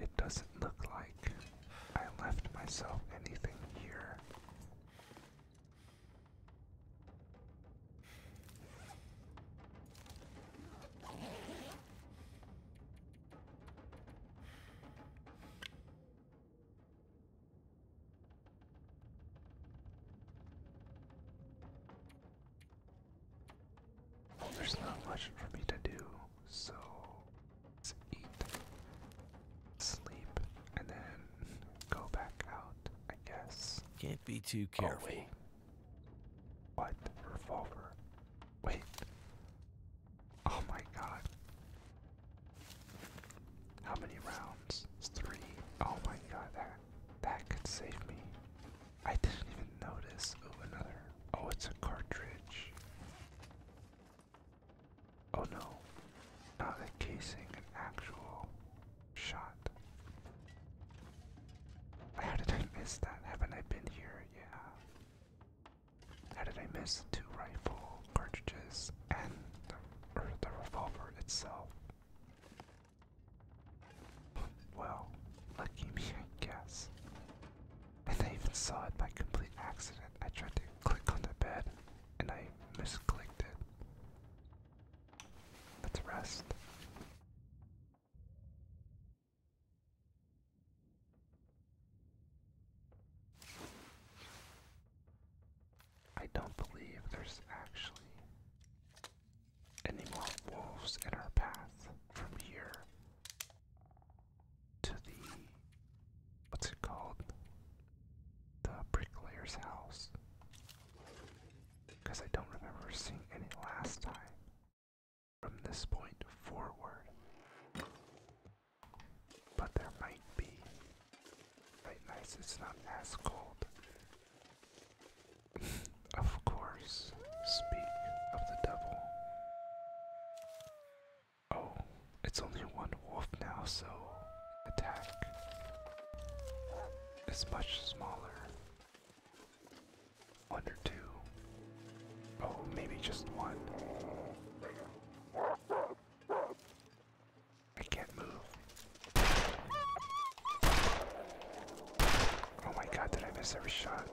It doesn't look like I left myself anything here. There's not much for me to do, so let's eat, sleep, and then go back out, I guess. Can't be too oh, careful. What? Revolver. Wait. Oh my god. How many rounds? Three. Oh my god, that that could save me. I didn't even notice. Oh another. Oh it's a cartridge. Oh no. Not a casing, an actual shot. How did I miss that? Haven't I been here? Yeah. How did I miss two rifle cartridges and the, revolver itself? Well, lucky me, I guess. And I even saw it by complete accident. I tried to click on the bed and I misclicked it. Let's rest. I don't believe there's actually any more wolves in our path from here to the what's it called? The bricklayer's house because I don't remember seeing any last time. From this point forward. But there might be. Night it's not as cold. of course, speak of the devil. Oh, it's only one wolf now, so attack is much smaller. One or two. Oh, maybe just one. I can't move. Oh my god, did I miss every shot?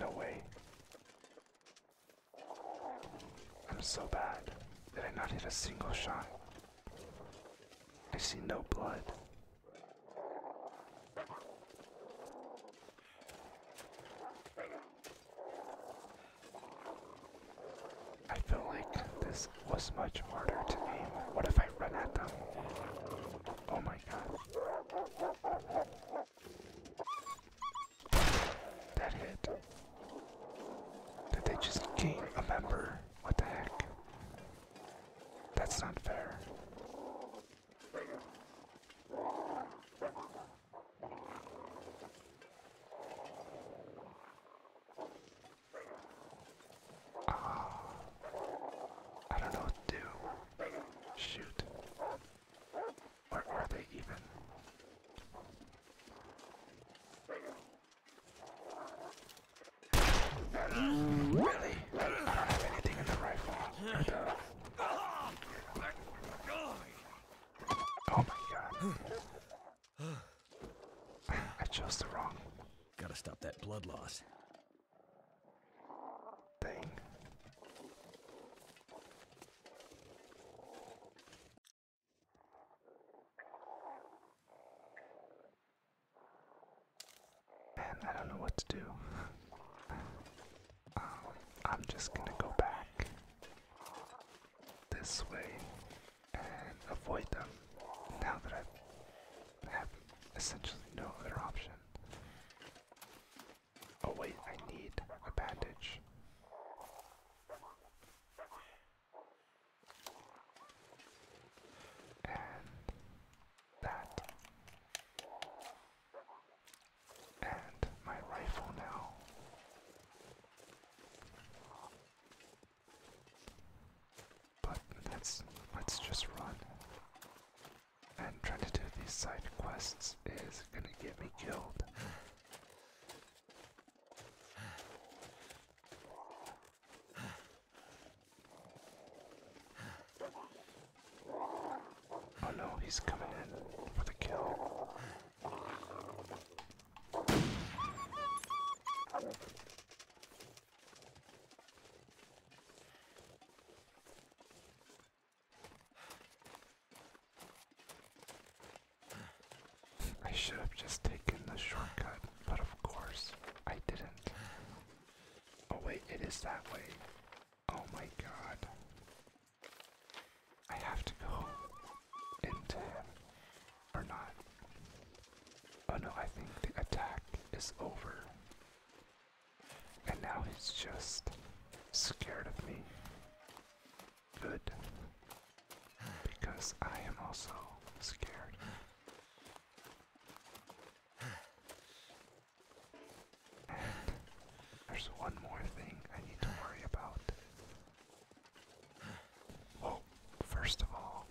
No way. I'm so bad. Did I not hit a single shot? I see no blood. I feel like this was much harder to aim. What if I run at them? Oh my god. That hit. Did they just gain a member? What the heck? That's not fair. Ah, I don't know do. Shoot. Where are they even? Really? I don't have anything in the rifle. Or the... Oh my god. I chose the wrong. Gotta stop that blood loss. Thing. Man, I don't know what to do. Um, I'm just gonna go back this way and avoid them now that I have essentially no other option. Oh, wait, I need a bandage and that. And my rifle now. But let's let's just run. And trying to do these side quests is gonna get me killed. Oh no, he's coming in for the kill. I should have just taken the shortcut but of course I didn't. Oh wait, it is that way. Oh my god. I have to go into him. Or not. Oh no, I think the attack is over. And now he's just scared of me. Good. Because I am also scared. There's one more thing I need to worry about. Well, first of all,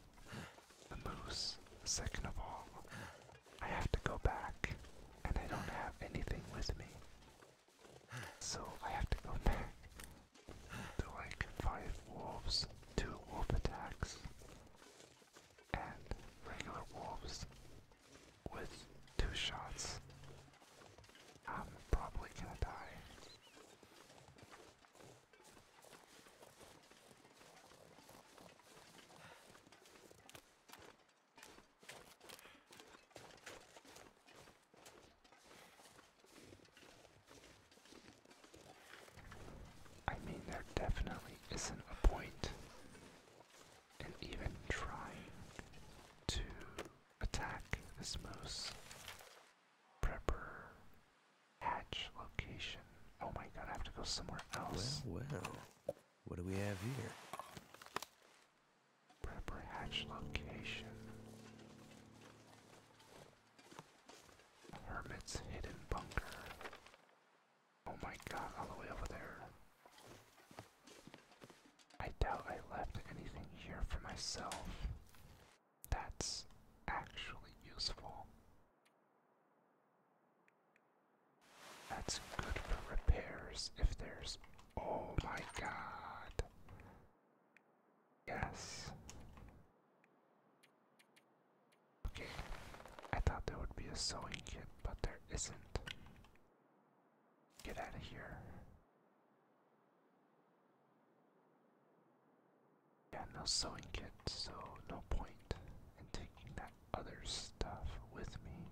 the moose. Second of all, I have to go back, and I don't have anything with me. So I have to go back to like five wolves, two wolf attacks, and regular wolves with two shots. I'm probably gonna die. I mean, there definitely isn't a point in even trying to attack this moose. Prepper hatch location. Oh my god, I have to go somewhere else. Well, well. What do we have here? Prepper hatch location. Hermit's hidden bunker. Oh my god, all the way over there. I doubt I left anything here for myself. That's actually useful. That's good for repairs if there's. Oh my god. Yes. Okay, I thought there would be a sewing kit, but there isn't. Get out of here. Yeah, no sewing kit, so no point in taking that other stuff with me.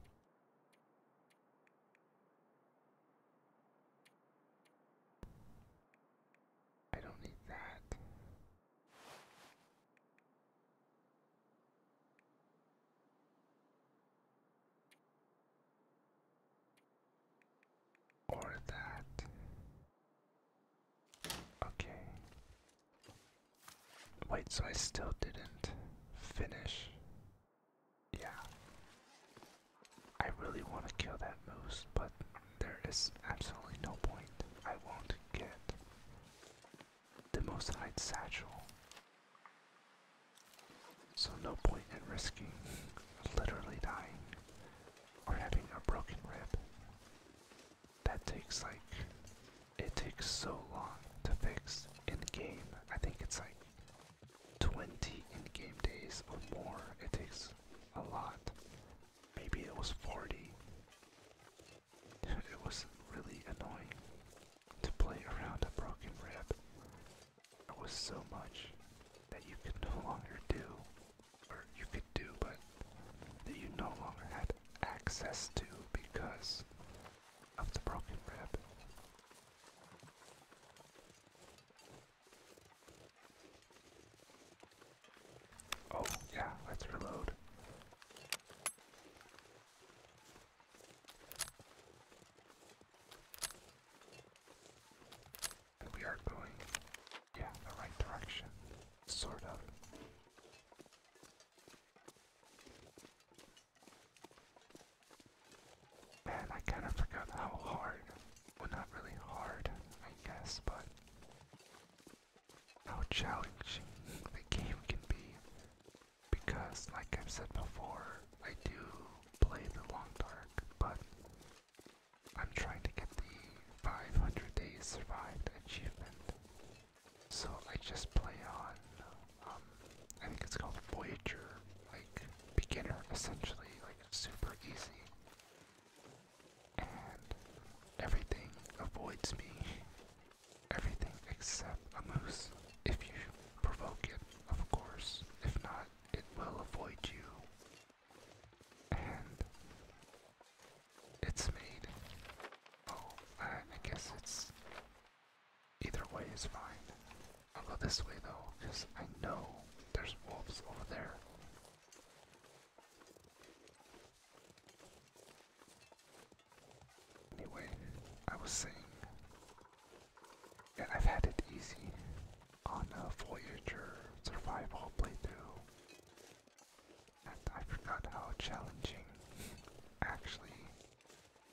I don't need that. Or that. Okay. Wait, so I still didn't finish. Yeah. I really want to kill that moose, but there is absolutely no point. I won't get the most hide satchel. So no point in risking literally dying or having a broken rib. That takes like it takes so long to fix in game. I think it's like 20 in game days or more. It takes a lot Maybe it was 40. It was really annoying to play around a broken rib. There was so much that you could no longer do, or you could do, but that you no longer had access to because of the broken rib. Oh, yeah, let's reload. we are going, yeah, the right direction, sort of. Man, I kind of forgot how hard, well, not really hard, I guess, but how challenging the game can be because like I've said before, I do play the long dark, but I'm trying to get the 500 days survived achievement. So I just play on, um, I think it's called Voyager, like beginner essentially, like super easy and everything avoids me. Everything except a moose. If you provoke it, of course. If not, it will avoid you. And it's made. Oh, I, guess it's. Either way is fine. I'll go this way though, because I know there's wolves over there. Anyway, I was saying and I've had it easy on a Voyager survival playthrough. And I forgot how challenging actually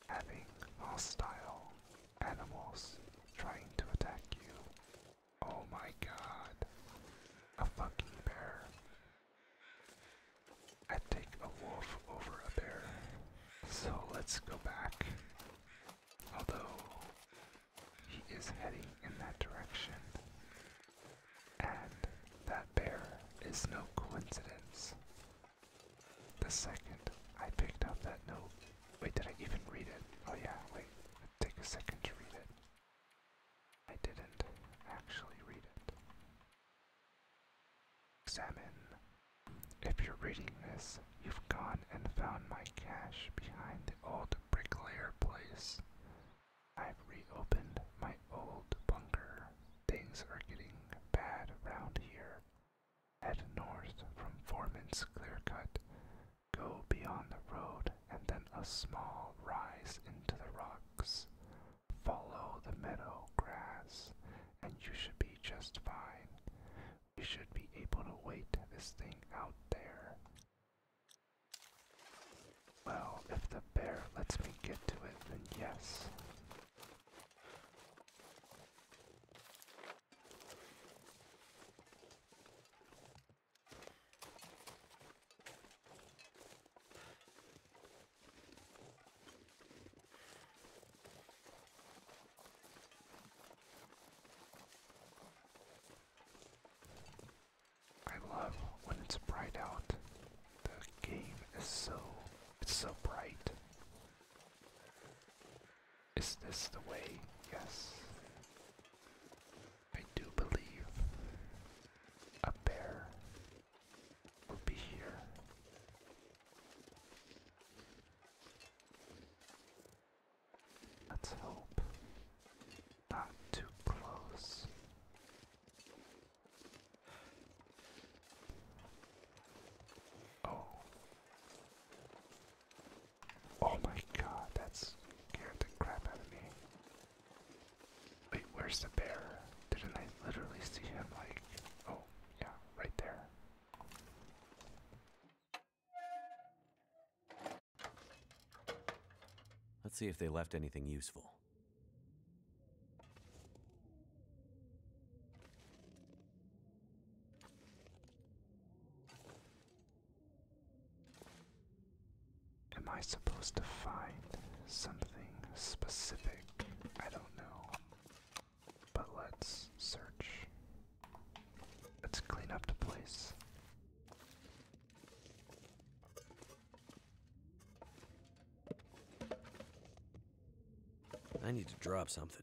having hostile animals trying to attack you Oh my god. A fucking bear. I'd take a wolf over a bear. So let's go back. Although he is heading in that direction. And that bear is no coincidence. The second I picked up that note. Wait, did I even read it? Oh yeah, wait. Take a second to read it. I didn't actually read it. Examine. If you're reading this, you've gone and found my cache behind the old bricklayer place. I've reopened my old bunker. Things are getting bad around here. Head north from Foreman's Clearcut go beyond the road and then a small rise into the rocks. Follow the meadow grass, and you should be just fine. We should be able to wait this thing out there. Well, if the bear lets me get to it, then yes. I love when it's bright out. The game is so it's so bright. Is this the way? Yes. I do believe a bear will be here. Let's hope not too close. Oh. Oh my god, that scared the crap out of me. Wait, where's the bear? Didn't I literally see him like oh yeah, right there. Let's see if they left anything useful. Am I supposed to find something specific? I don't know. But let's search. Let's clean up the place. I need to drop something.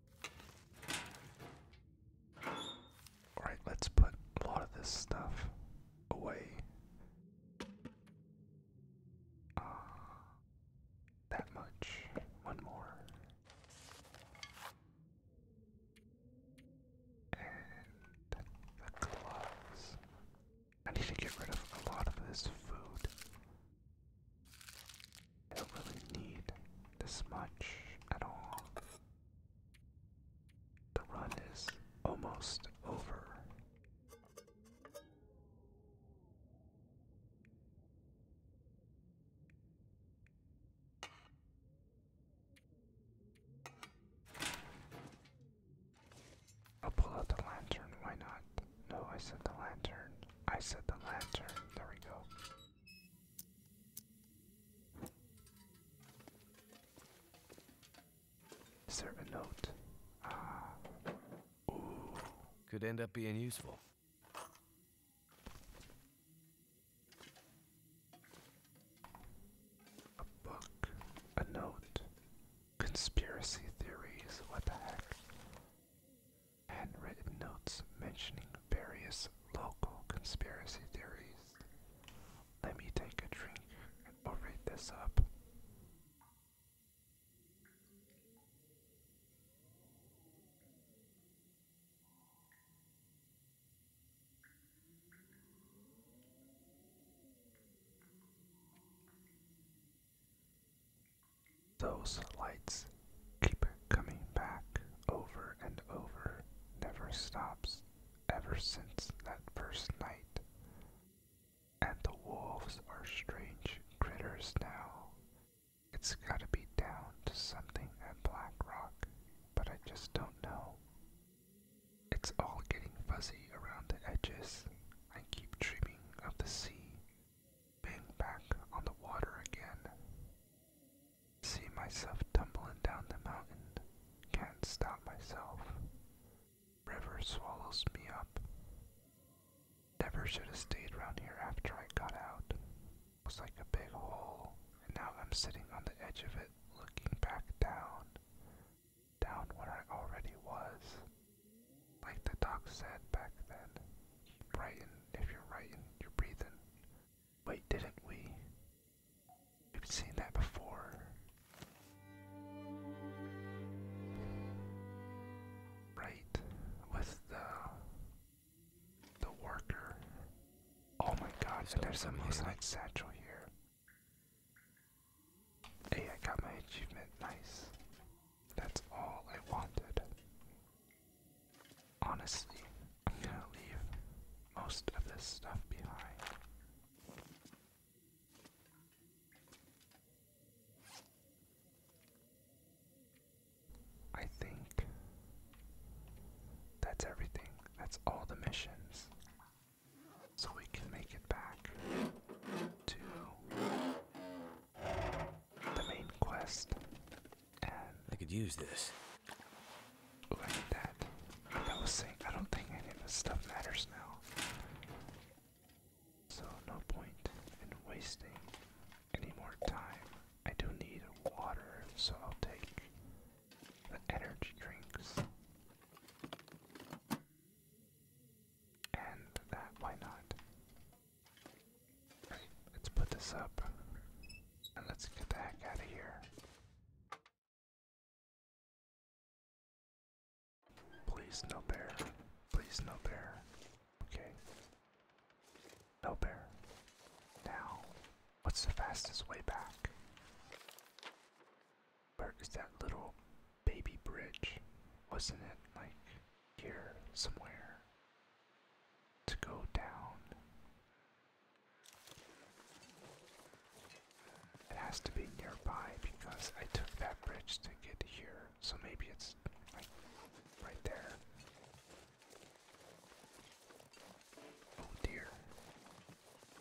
Alright, let's put a lot of this stuff away. Uh, that much. One more. And the gloves. I need to get rid of a lot of this food. I don't really need this much at all. The run is almost over. I'll pull out the lantern, why not? No, I said the lantern. I said the lantern. There we go. Is there a note? Ah. Could end up being useful. A book. A note. Conspiracy theories. What the heck? handwritten notes mentioning various local conspiracy theories. Let me take a drink and we this up. Those lights keep coming back over and over, never stops ever since that first night. And the wolves are strange critters now. It's gotta be down to something at Black Rock, but I just don't know. It's all getting fuzzy around the edges. I keep dreaming of the sea, being back on the water again. See myself tumbling down the mountain, can't stop myself. River swallows me up. Never should have stayed around here after I got out. It was like a big hole, and now I'm sitting on the edge of it, looking back down. Down where I already was. Like the doc said back then, keep writing. If you're writing, you're breathing. Wait, didn't we? We've seen that before. Right, with the the worker. Oh my God! So there's a moonlight satchel here. Hey, I got my achievement. Nice. That's all I wanted. Honestly, I'm gonna leave most of this stuff behind. I think that's everything. That's all the missions. So we can make it back to the main quest. And I could use this. Like that. I was saying, I don't think any of this stuff matters now. So, no point in wasting any more time. I do need water, so I'll take the energy drinks. And that, why not? let's put this up let's get the heck out of here. Please, no bear. Please, no bear. Okay. No bear. Now, what's the fastest way back? Where is that little baby bridge? Wasn't it like here somewhere? to go down. It has to be nearby because I took that bridge to get here, so maybe it's right there. Oh dear.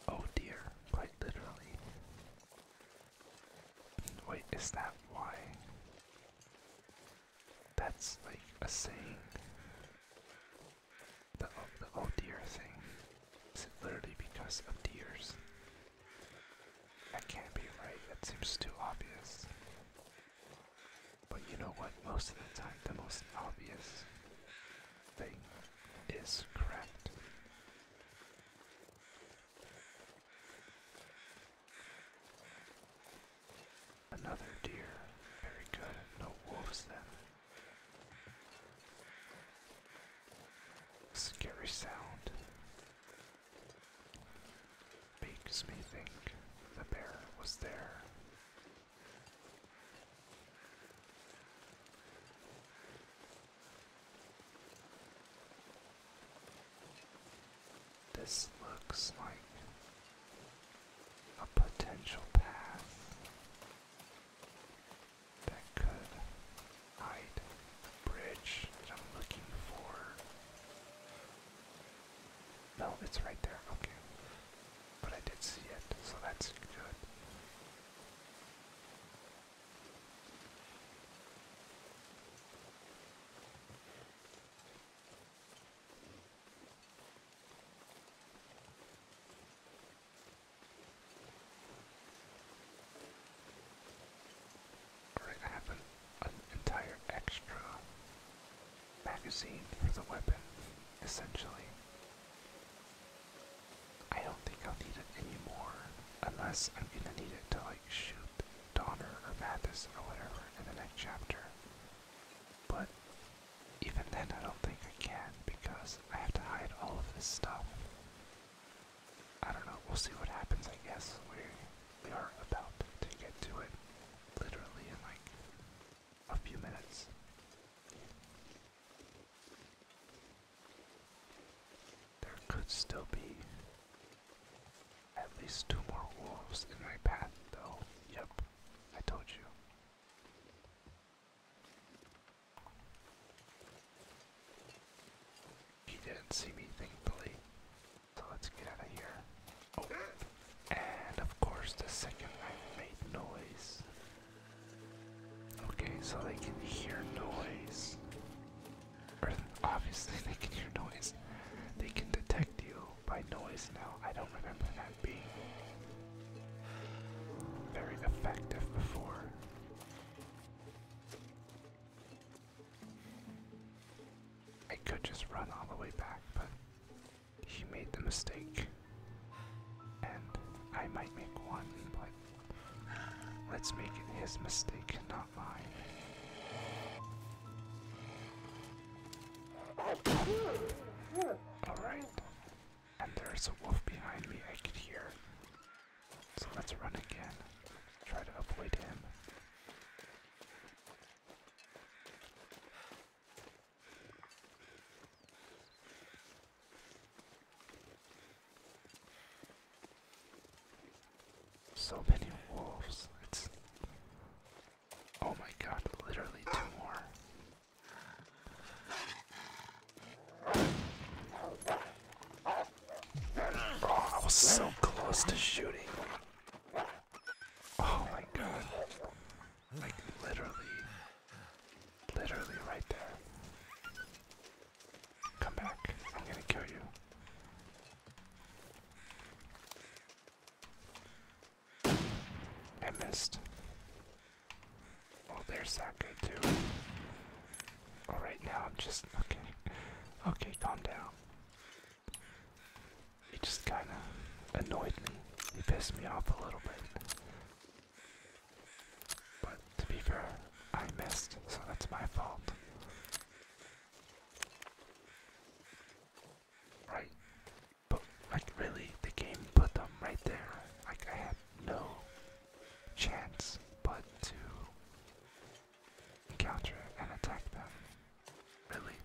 Oh dear, quite literally. Wait, is that why? That's like a saying. The, oh, the oh dear thing. Is it literally because of deers? That can't be right. That seems too obvious. But you know what? Most of the time, the most obvious thing is correct. Another deer. Very good. No wolves then. Scary sound. Makes me think the bear was there. This looks like a potential path that could hide the bridge that I'm looking for. No, it's right there, okay. But I did see it, so that's good. I have an, entire extra magazine for the weapon, essentially. I don't think I'll need it anymore, unless I'm gonna need it to like shoot Donner or Mathis or whatever in the next chapter. But even then, I don't think I can because I have to hide all of this stuff. I don't know, we'll see what happens, I guess. We, we are about to get to it literally in like a few minutes. There could still be at least two more wolves in my path, though. Yep, I told you. He didn't see me, thankfully. So let's get out of here. Oh, and of course, the second I made noise. Okay, so they can hear noise obviously they can hear noise. They can detect you by noise now. I don't remember that being very effective before. I could just run all the way back, but he made the mistake. And I might make one, but let's make it his mistake not mine. Alright. And there's a wolf behind me, I can hear. So let's run again. Try to avoid him. So many wolves. It's. Oh my god, literally two more. Oh, I was so close to shooting. Oh my god. Like, literally. Literally right there. Come back. I'm gonna kill you. I missed. Oh, there's that good too. All right, now I'm just okay. Okay, calm down. He just kind of annoyed me. He pissed me off a little bit. But to be fair, I missed, so that's my fault. Right. But like really the game put them right there. Like I have no chance but to encounter and attack them. Really.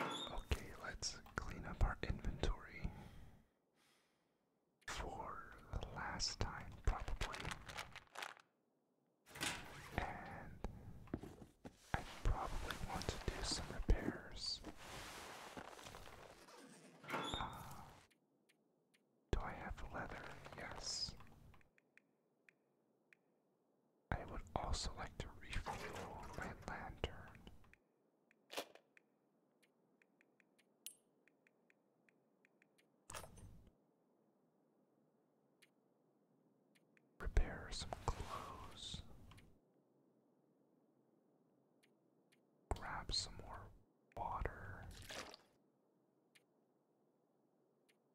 Okay, let's clean up our inventory for the last time, probably. And I probably want to do some repairs. Uh, do I have leather? Yes. I would also like to refuel my lantern. Prepare some clothes. Grab some more water.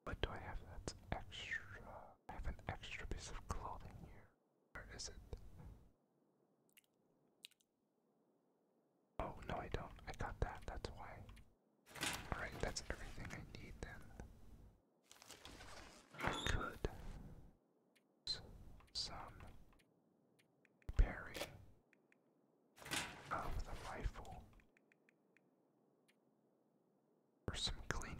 What do I have that's extra? I have an extra piece of clothing here. Where is it? Oh, no, I don't. I got that. That's why. Alright, that's everything I need then. I could use some parry of the rifle for some cleaning.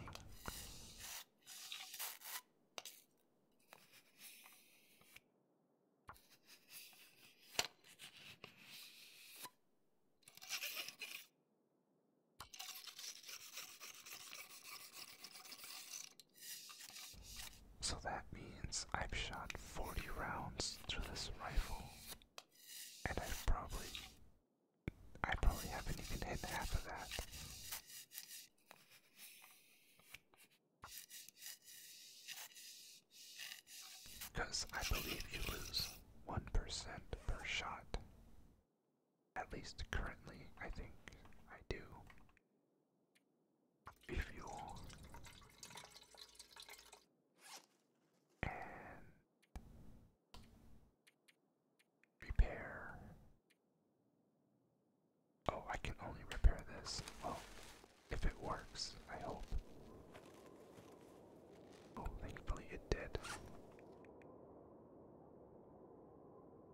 So that means I've shot 40 rounds through this rifle, and i probably. I probably haven't even hit half of that. Because I believe you lose 1% per shot. At least currently, I think I do. If and repair Oh, I can only repair this. Well, if it works, I hope. Oh, thankfully it did.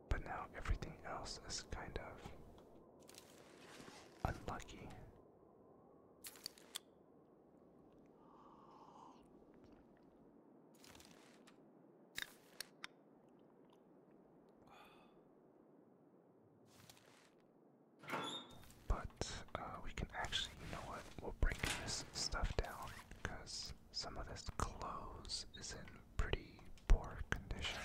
But now everything else is kind of unlucky. But uh, we can actually, you know what, we'll break this stuff down because some of this clothes is in pretty poor condition.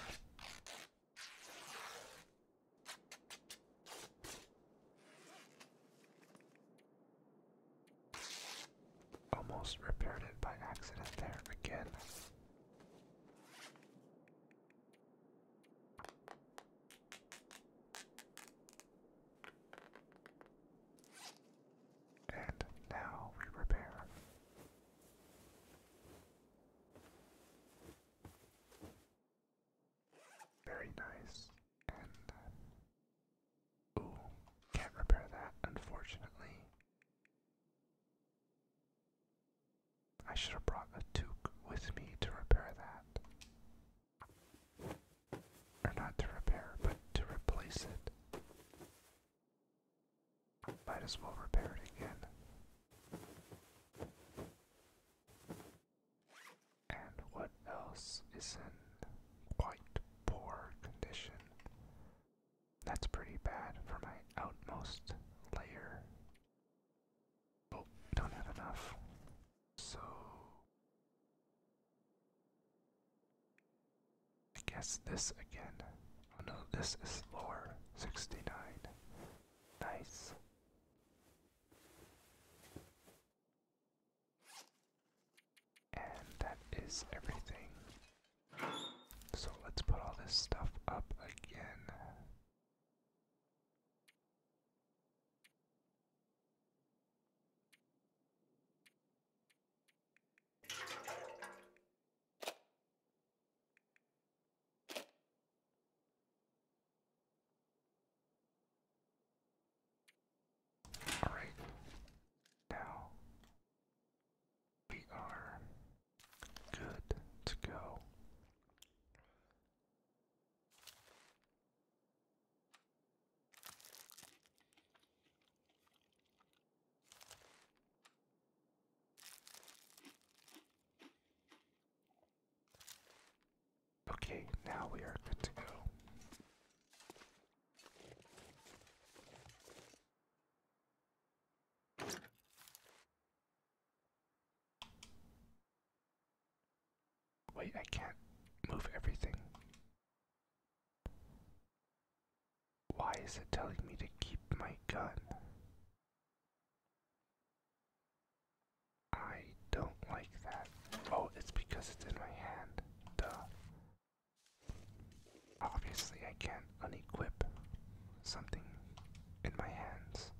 Almost repaired it by accident there again. And now we repair. Very nice. And uh, ooh, can't repair that, unfortunately. I should have brought a toque with me to repair that. Or not to repair, but to replace it. Might as well repair it again. And what else is in quite poor condition? That's pretty bad for my outmost layer. Oh, don't have enough. So. I guess this again. Oh no, this is lower. 69. Nice. And that is everything so let's put all this stuff up again. All right. Now we are good to go. Okay, now we are good to go. Wait, I can't move everything. Why is it telling me to keep my gun? I don't like that. Oh, it's because it's in my hand. Duh. Obviously, I can't unequip something in my hands.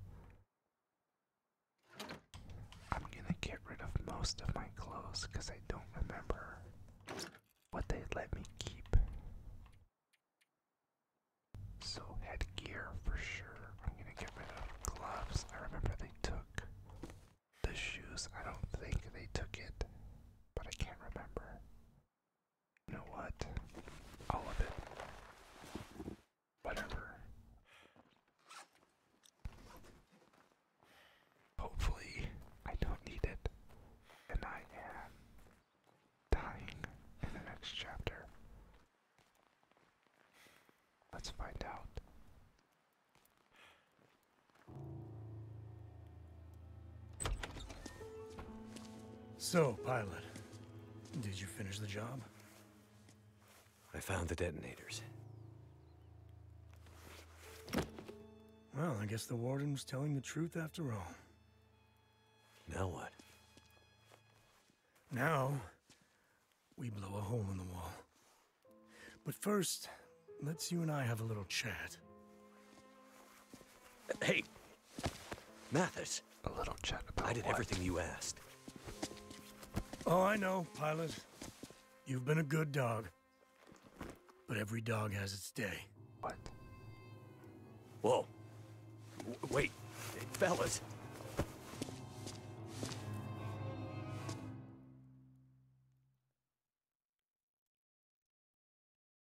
I'm gonna get rid of most of my clothes because I don't remember what they let me keep. So, headgear for sure. I'm gonna get rid of gloves. I remember they took the shoes. I don't think they took it, but I can't remember. You know what? All of it. Whatever. Hopefully, I don't need it, and I am dying in the next chapter. Let's find out. So, pilot, did you finish the job? I found the detonators. Well, I guess the warden was telling the truth after all. Now what? Now, we blow a hole in the wall. But first, let's you and I have a little chat. Hey, Mathis. A little chat about I did everything you asked. Oh, I know, pilot. You've been a good dog. But every dog has its day. What? Whoa. wait, fellas.